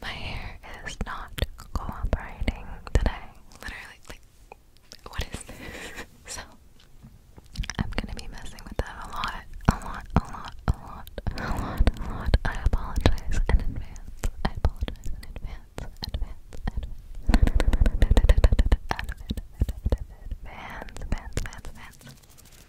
My hair is not cooperating today. Literally, like, what is this? so, I'm gonna be messing with that a lot, a lot, a lot, a lot, a lot, a lot. I apologize in advance. I apologize in advance, advance, advance. Advance, advance, advance, advance.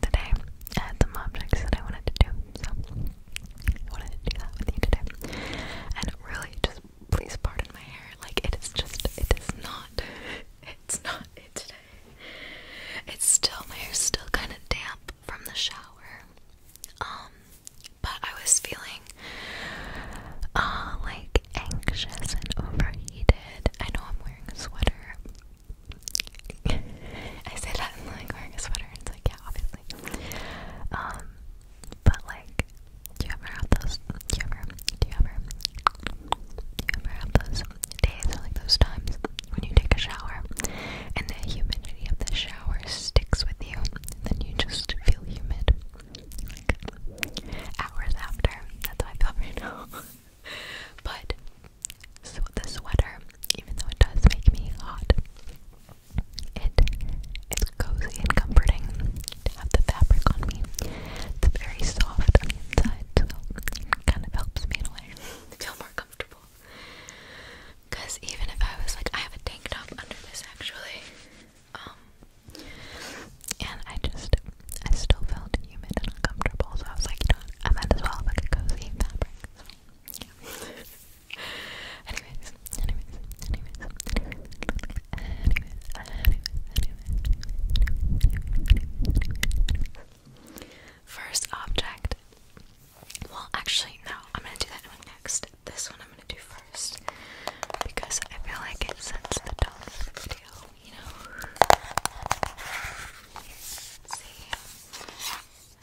today, some objects that I wanted to do, so I wanted to do that with you today. And really, just please pardon my hair. Like, it is just, it is not, it's not today. It's still, my hair's still kind of damp from the shower. Um, but I was feeling, uh, like anxious and overheated. I know I'm wearing a sweater, I said that in like wearing a sweater, and it's like, yeah, obviously. Um, but like, do you ever have those? Do you ever? Do you ever? Do you ever have those days or like those times when you take a shower and the humidity of the shower sticks with you, and then you just feel humid like hours after? That's how I feel right now. but so the sweater, even though it does make me hot, it's cozy and comforting to have the fabric on me. It's very soft on the inside, kind of helps me in a way feel more comfortable. Cause even if I was like, I have a tank top under this actually, um, and I just I still felt humid and uncomfortable, so I was like, you know what, I might as well have like a cozy fabric. So, yeah. anyways, anyways, anyways, anyways, anyways, anyways, anyways, anyways. First object. Well, actually, no, I'm gonna do that one next. This one I'm gonna do first because I feel like it sets the tone of the video you know.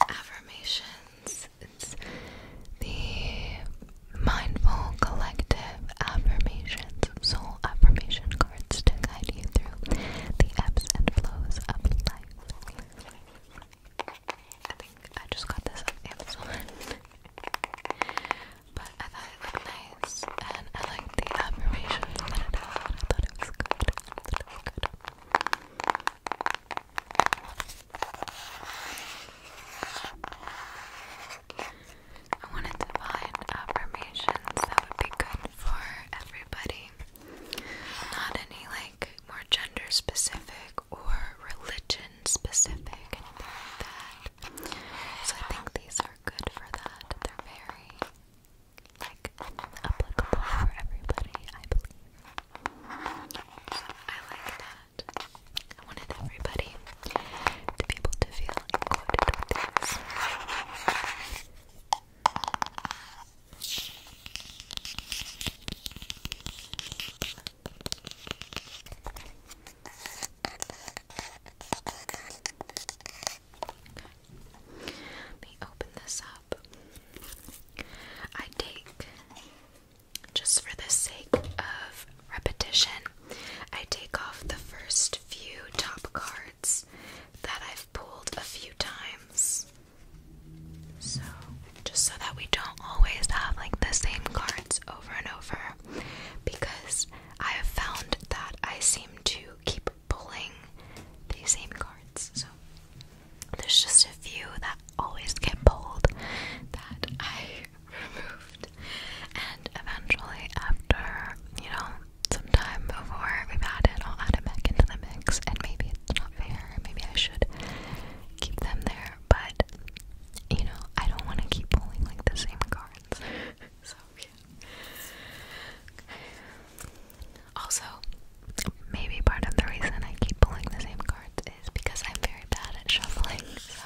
affirmations. It's the mindful collective affirmations, soul affirmation cards to guide you through the ebbs and flows of life. I think I just got this on but I thought it looked nice and I liked the affirmation that it had. I thought it was good. I wanted to find affirmations that would be good for everybody. Not any like more gender specific or religion specific, So I think these are good for that. They're very like applicable for everybody, I believe. I like that. I wanted everybody to be able to feel included let me open this up. I take, just for the sake of repetition, I take off the first few top cards that I've pulled a few times. So, just so that we don't always have like the same cards over and over, because I have found that I seem to keep pulling the same cards. So there's just a few that always get pulled that I removed. And eventually after, you know, some time before we've had it, I'll add it back into the mix and maybe it's not fair, maybe I should keep them there, but you know, I don't want to keep pulling like the same cards. so also, maybe part of the reason I keep pulling the same cards is because I'm very bad at shuffling, so.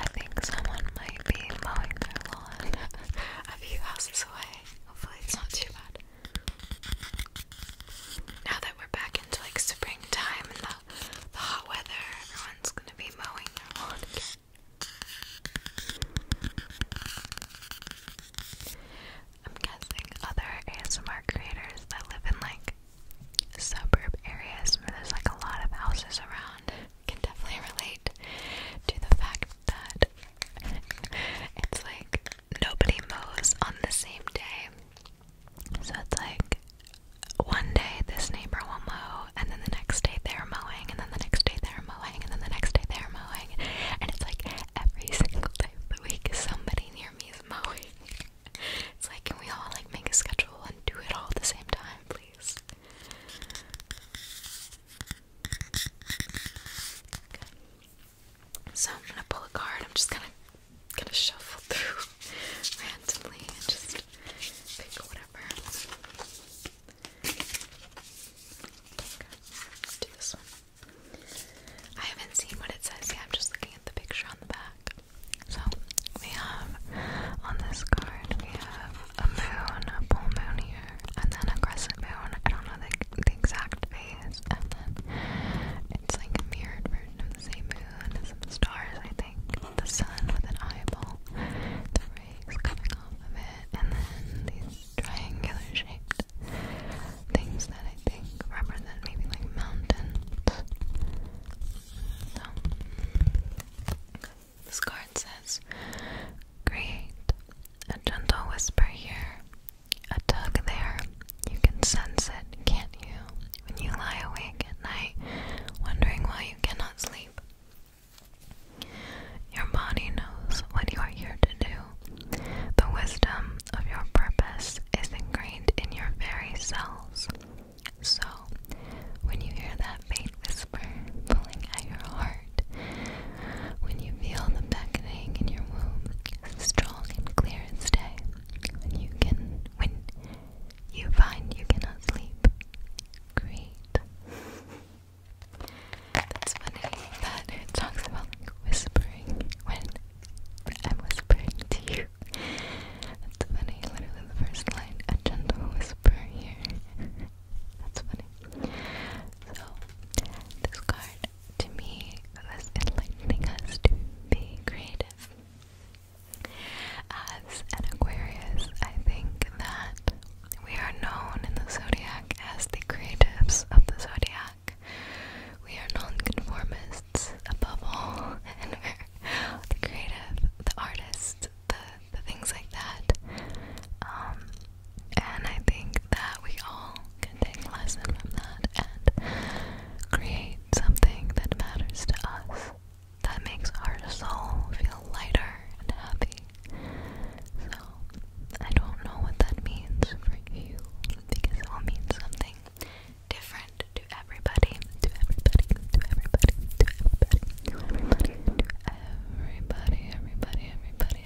I think someone might be mowing their lawn a few houses away. Hopefully, it's not too bad. Now that we're back into like springtime and the, the hot weather, everyone's gonna be mowing their lawn I'm guessing other ASMR creators that live in like suburb areas where there's like a lot of houses around can definitely relate to the fact that it's like nobody mows on the same day. So it's like one day this neighbor will mow, and then the next day they're mowing, and then the next day they're mowing, and then the next day they're mowing. And it's like every single day of the week somebody near me is mowing. it's like, can we all like make a schedule and do it all the same time, please? So I'm gonna pull a card. I'm just gonna gonna shuffle through randomly and just pick whatever. Let's do this one. I haven't seen what it says yet. I'm just looking at the picture on the back. So we have on this card we have a moon, a full moon here and then a crescent moon. I don't know the, exact phase, and then it's like a mirrored version of the same moon, some stars, I think, the sun with an eyeball, the rays coming off of it, and then these triangular shaped things that I think represent maybe like mountains. So, this card says create a gentle whisper here, a tug there. You can sense it, can't you? When you lie awake at night, wondering why you cannot sleep. Your body knows what you are here to do. The wisdom of your purpose is ingrained in your very cells. So, when you hear that faint whisper pulling at your heart, when you feel the beckoning in your womb, strong and clear and day. When you can, when you find you cannot sleep, great. That's funny that it talks about like whispering when I'm whispering to you. That's funny. Literally the first line, a gentle whisper here. That's funny. So, this card to me was enlightening us to be creative. As an Aquarius, I think that we are known in the zodiac as the creatives of the zodiac. We are nonconformists above all, and we're the creative, the artists, the, the things like that. Um, and I think that we all can take a lesson from that and create something that matters to us, that makes our soul feel lighter and happy. So, I don't know what that means for you because it will mean something different to everybody, to everybody, to everybody, to everybody, everybody, everybody, everybody, everybody.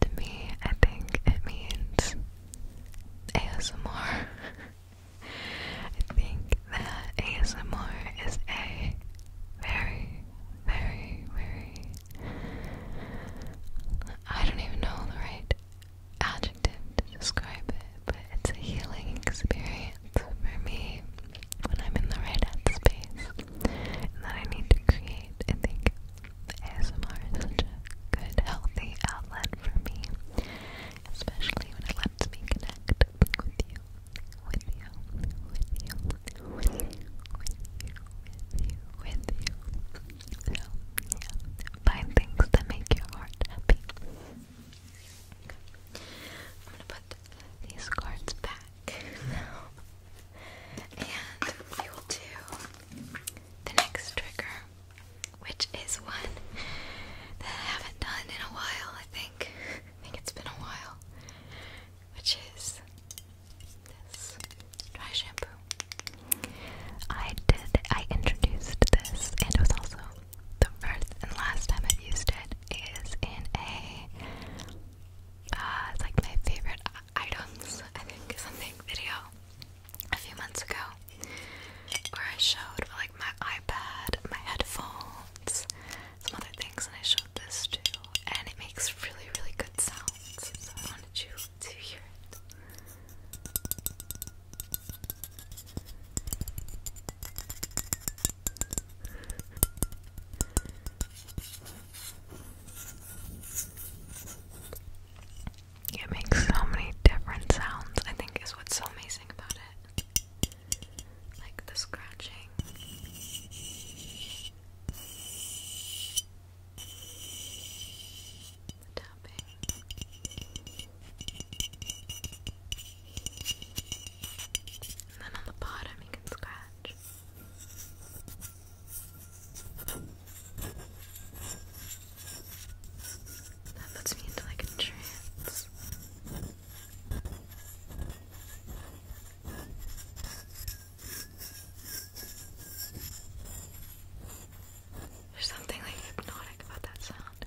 To me, I think it means ASMR. I think that ASMR is a very, very, very. I don't even know the right adjective to describe it, but it's a healing experience for me when I'm in the right headspace that I need to create. I think ASMR is a good, healthy outlet for me, especially when it lets me connect with you, with you, with you, with you, with you, with you. So, yeah, find things that make your heart happy. I'm gonna put these cards back and we will do the next trigger, which is one that I haven't done in a while, I think. I think it's been a while. Which is this dry shampoo. I did, I introduced this, and it was also the first and last time I've used it is in a uh, it's like my favorite items, I think, something video a few months ago where I showed like my iPad, my headphones, some other things, and I showed this too, and it makes really, really good sounds, so I wanted you to hear it. It makes so many different sounds, I think, is what's so amazing about it. Like the scratching. The tapping. And then on the bottom, you can scratch. That puts me into like a trance. There's something like hypnotic about that sound.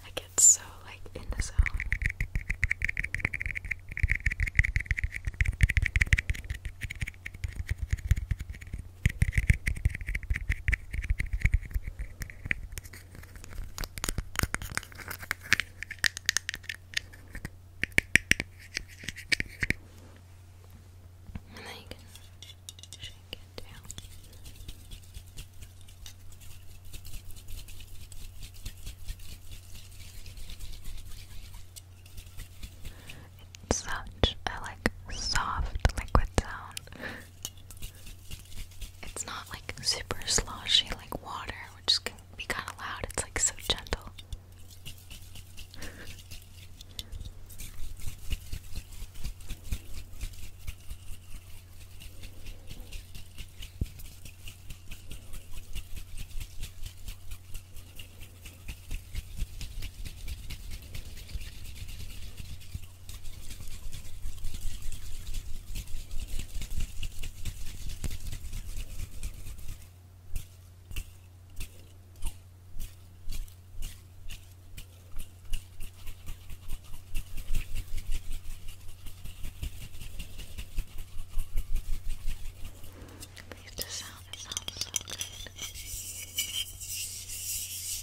I get so like in the zone. And then you can shake it down. It's such a like soft liquid sound. It's not like super sloshy like water, which can be kind of loud. It's like so gentle. Leave the sound, it sounds so good.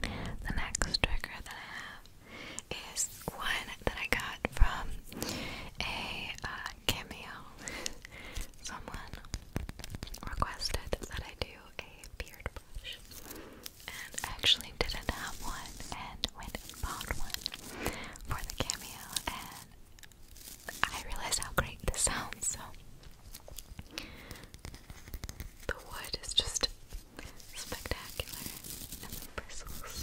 The next trigger that I have is one that I got from a uh, cameo. Someone requested that I do a beard brush, and actually didn't have one, and went and bought one for the cameo, and I realized how great this sounds, so the wood is just spectacular, and bristles.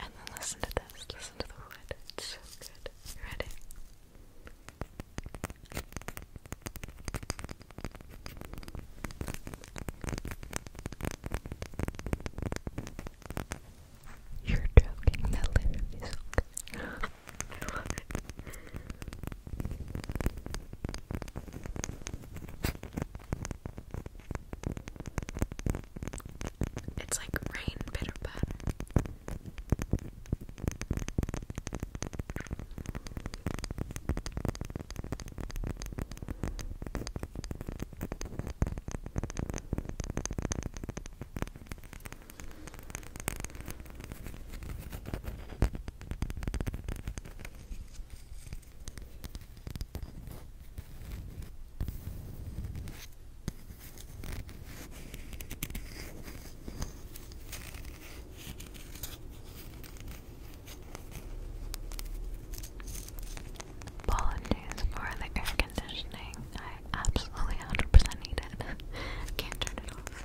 And then listen to this, listen to the wood. It's so good. You ready? You're joking, that literally is it's like rain bitter patter. Apologies for the air conditioning absolutely 100% needed. Can't turn it off.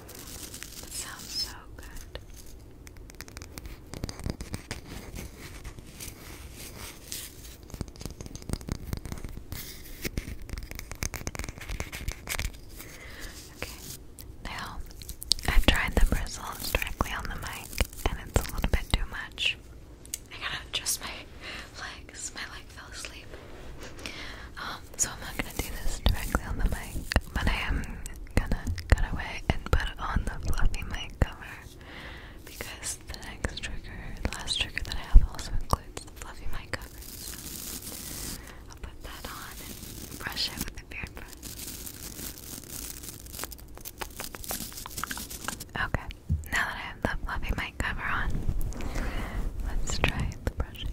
That sounds so good. Okay, now I've tried the bristles directly on the mic, and it's a little bit too much. I gotta adjust my legs. My leg fell asleep. Um, so I'm not gonna do this directly on the mic, but I am gonna cut away and put on the fluffy mic cover because the next trigger, the last trigger that I have also includes the fluffy mic cover. So I'll put that on and brush it with the beard brush. Okay, now that I have the fluffy mic cover on, let's try the brushing.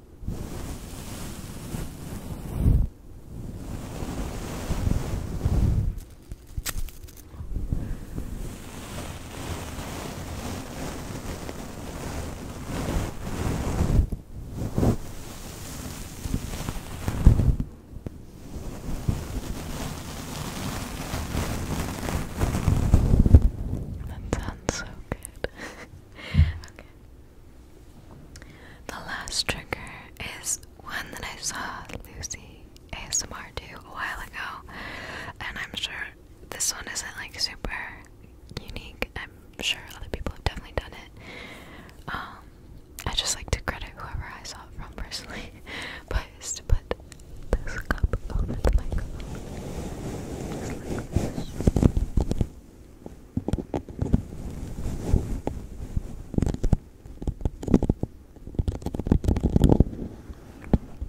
That sounds so good. The last trigger is one that I saw Lucy ASMR do a while ago, and I'm sure this one isn't like super unique. I'm sure other people have definitely done it. Um, I just like to credit whoever I saw it from personally, but to put this cup over the microphone.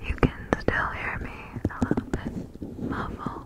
You can still hear me a little bit muffled.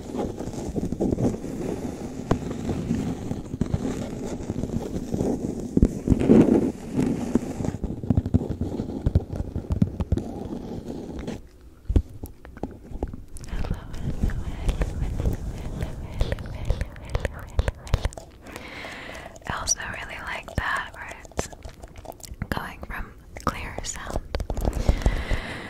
hello. I also really like that where it's going from clear sound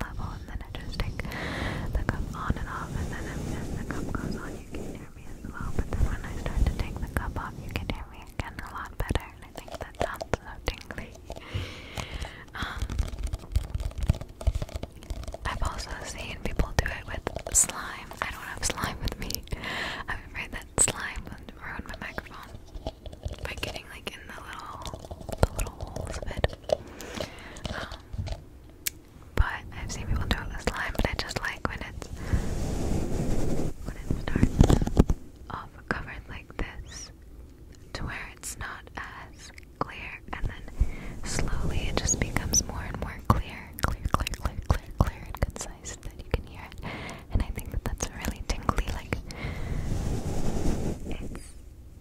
level, and then I just take the cup on and off, and then as the cup goes on, you can hear me as well. But when I start to take the cup off, you can hear me again a lot better, and I think that sounds so tingly. Um, I've also seen people do it with slime. I don't have slime with me. I'm afraid that slime would ruin my microphone by getting like in the little the little holes of it. Um, but I've seen people do it with slime, but I just like when it's when it starts off covered like this to where it's not as clear and then slowly it just becomes more and more clear, clear, clear, clear, clear, clear and concise that you can hear it. And I think that that's really tingly, like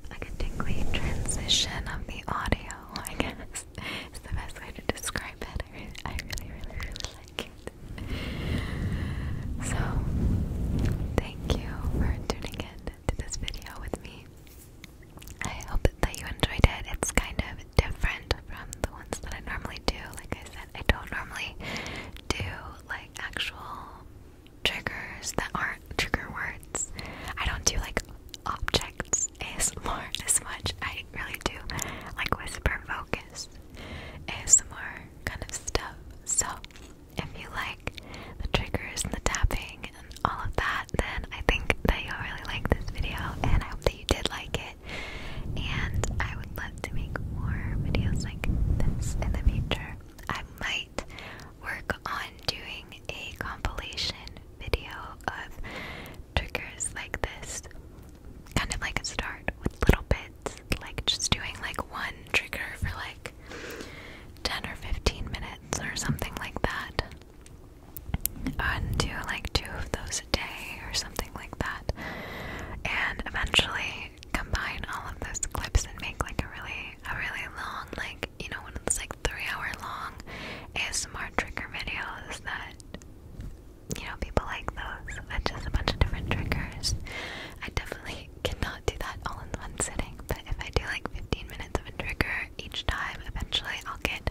like a tingly transition of the audio, I guess. It's the best way to describe it. I really, I really, really, really like it. So, thank you for tuning in to this video with me. I hope that you enjoyed it. It's kind of different from the ones that I normally do. Like I said, I don't normally do like actual triggers that aren't trigger words. I don't do like objects ASMR as much. I really do like whisper focus ASMR kind of stuff. So if you like the triggers and the tapping and all of that, then I think that you'll really like this video and I hope that you did like it. And I would love to make more videos like this in the future. I might work on doing a compilation video of triggers like this. Kind of like a start with little bits, like just doing like one trigger for like 10 or 15 minutes or something like that. And do like two of those a day or something like that. And eventually combine all of those clips and make like a really a really long, like, you know, one of those like three hour long ASMR trigger videos that, you know, people like those with just a bunch of different triggers. I definitely cannot do that all in one sitting, but if I do like 15 minutes of a trigger each time, eventually I'll get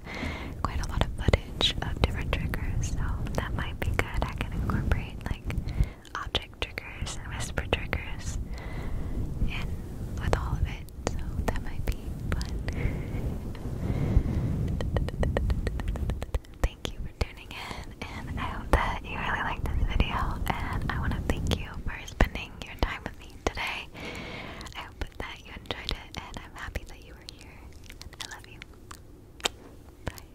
quite a lot of footage of different triggers, so that might be good. I can incorporate like object triggers and whisper triggers in with all of it, so that might be fun. thank you for tuning in, and I hope that you really liked this video. And I want to thank you for spending your time with me today. I hope that you enjoyed it, and I'm happy that you were here. I love you. Bye.